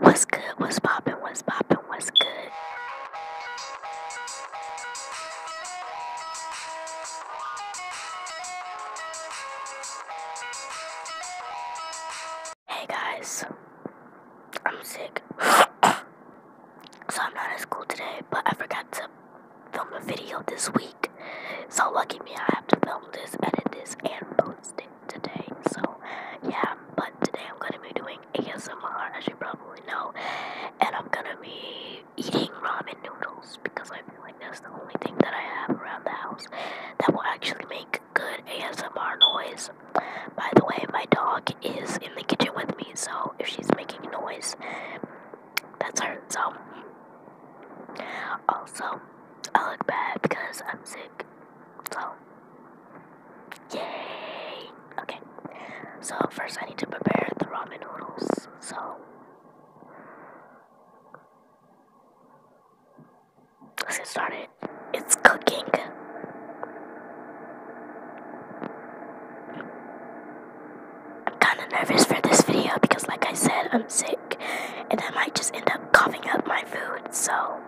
What's good? What's poppin'? What's poppin'? What's good? Hey guys, I'm sick. so I'm not at school today, but I forgot to film a video this week. So lucky me, I have to film this, edit this, and post it today. So yeah, but today I'm gonna be doing ASMR as you probably know. And I'm gonna be eating ramen noodles because I feel like that's the only thing that I have around the house that will actually make good ASMR noise. By the way, my dog is in the kitchen with me, so if she's making noise, that's her. Um, so also I look bad because I'm sick so, yay! Okay, so first I need to prepare the ramen noodles. So, let's get started. It's cooking. I'm kind of nervous for this video because, like I said, I'm sick and I might just end up coughing up my food, so.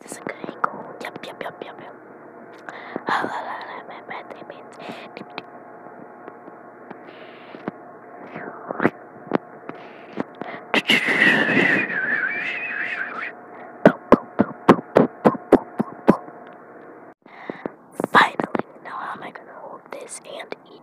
This is a good angle. Yep, yep, yep, yep, yep. Finally, now how am I gonna hold this and eat?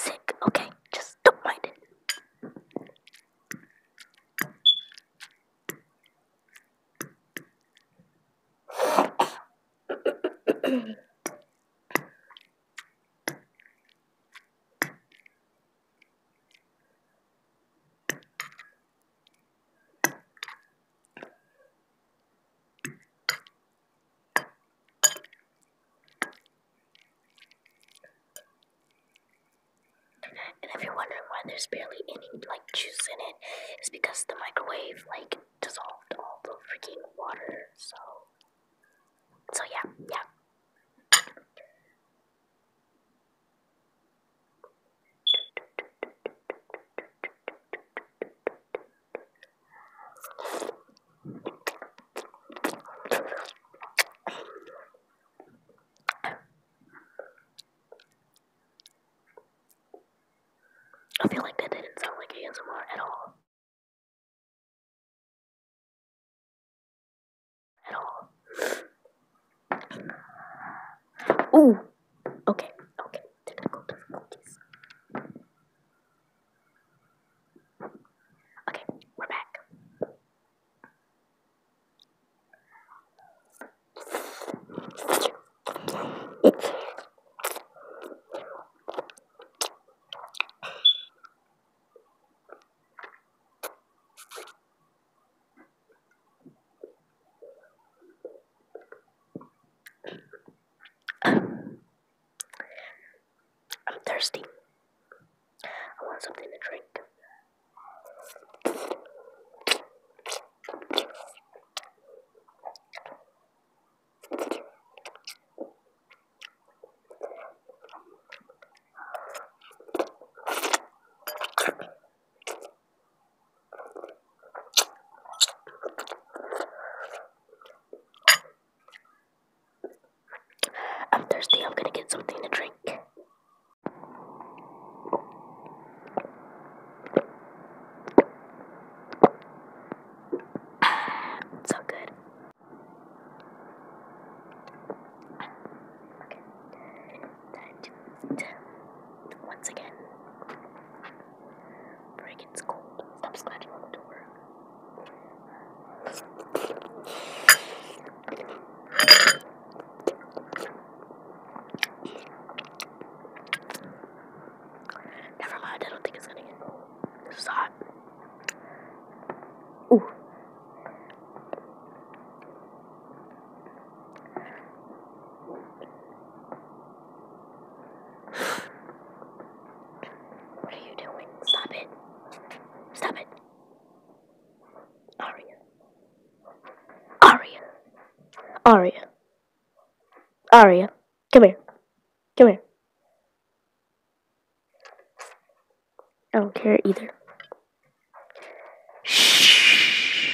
Sick. Okay, just don't mind it. And if you're wondering why there's barely any like juice in it, it's because the microwave like dissolved all the freaking water. So, so yeah, yeah. I feel like that didn't sound like ASMR at all. Ooh. Okay. Okay. Technical difficulties. Okay, we're back. I'm thirsty. I want something to drink. I'm thirsty, I'm gonna get something to drink. so good. That once again, it's cold. Stop scratching on the door. Never mind, I don't think it's gonna get cold. This Ooh. What are you doing? Stop it. Stop it. Aria. Aria. Aria. Aria. Come here. Come here. I don't care either. Shh.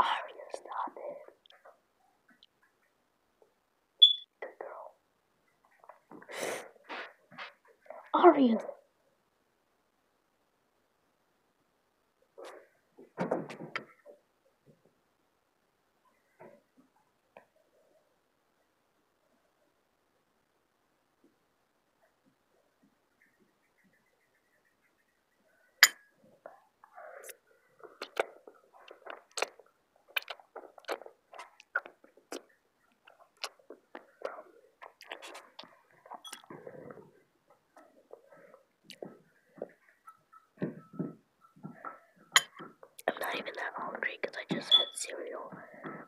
Aria, stop it. Are you? I'm not even that hungry I just had cereal,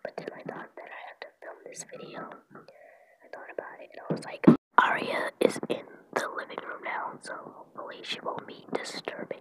but then I thought that I had to film this video. I thought about it and I was like, Aria is in the living room now, so hopefully she won't be disturbing.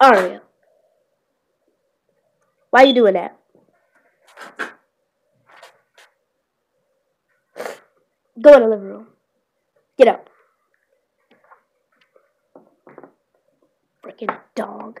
Ariel. Why are you doing that? Go in the living room. Get up. Freaking dog.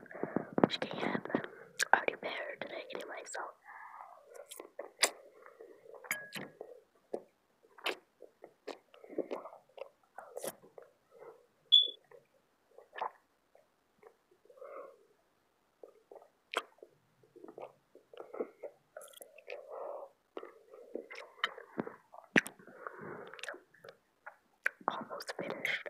which can happen. I already married today anyway, so. Almost finished.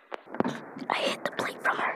I hid the plate from her.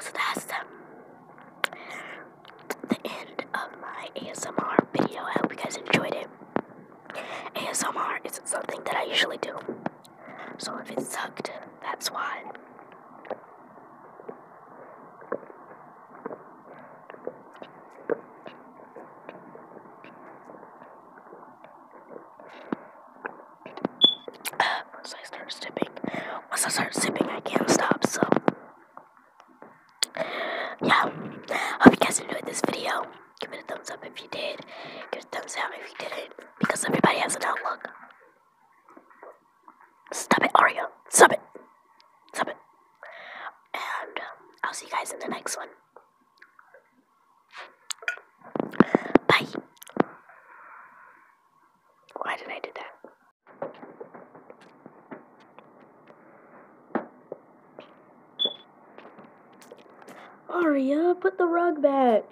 So that's the, end of my ASMR video. I hope you guys enjoyed it. ASMR is something that I usually do. So if it sucked, that's why. Once I start sipping, once I start sipping, I can't stop. So, yeah, hope you guys enjoyed this video. Give it a thumbs up if you did. Give it a thumbs down if you didn't, because everybody has an outlook. Stop it, Aria. Stop it. Stop it. And um, I'll see you guys in the next one. Bye. Why did I do that? Aria, put the rug back.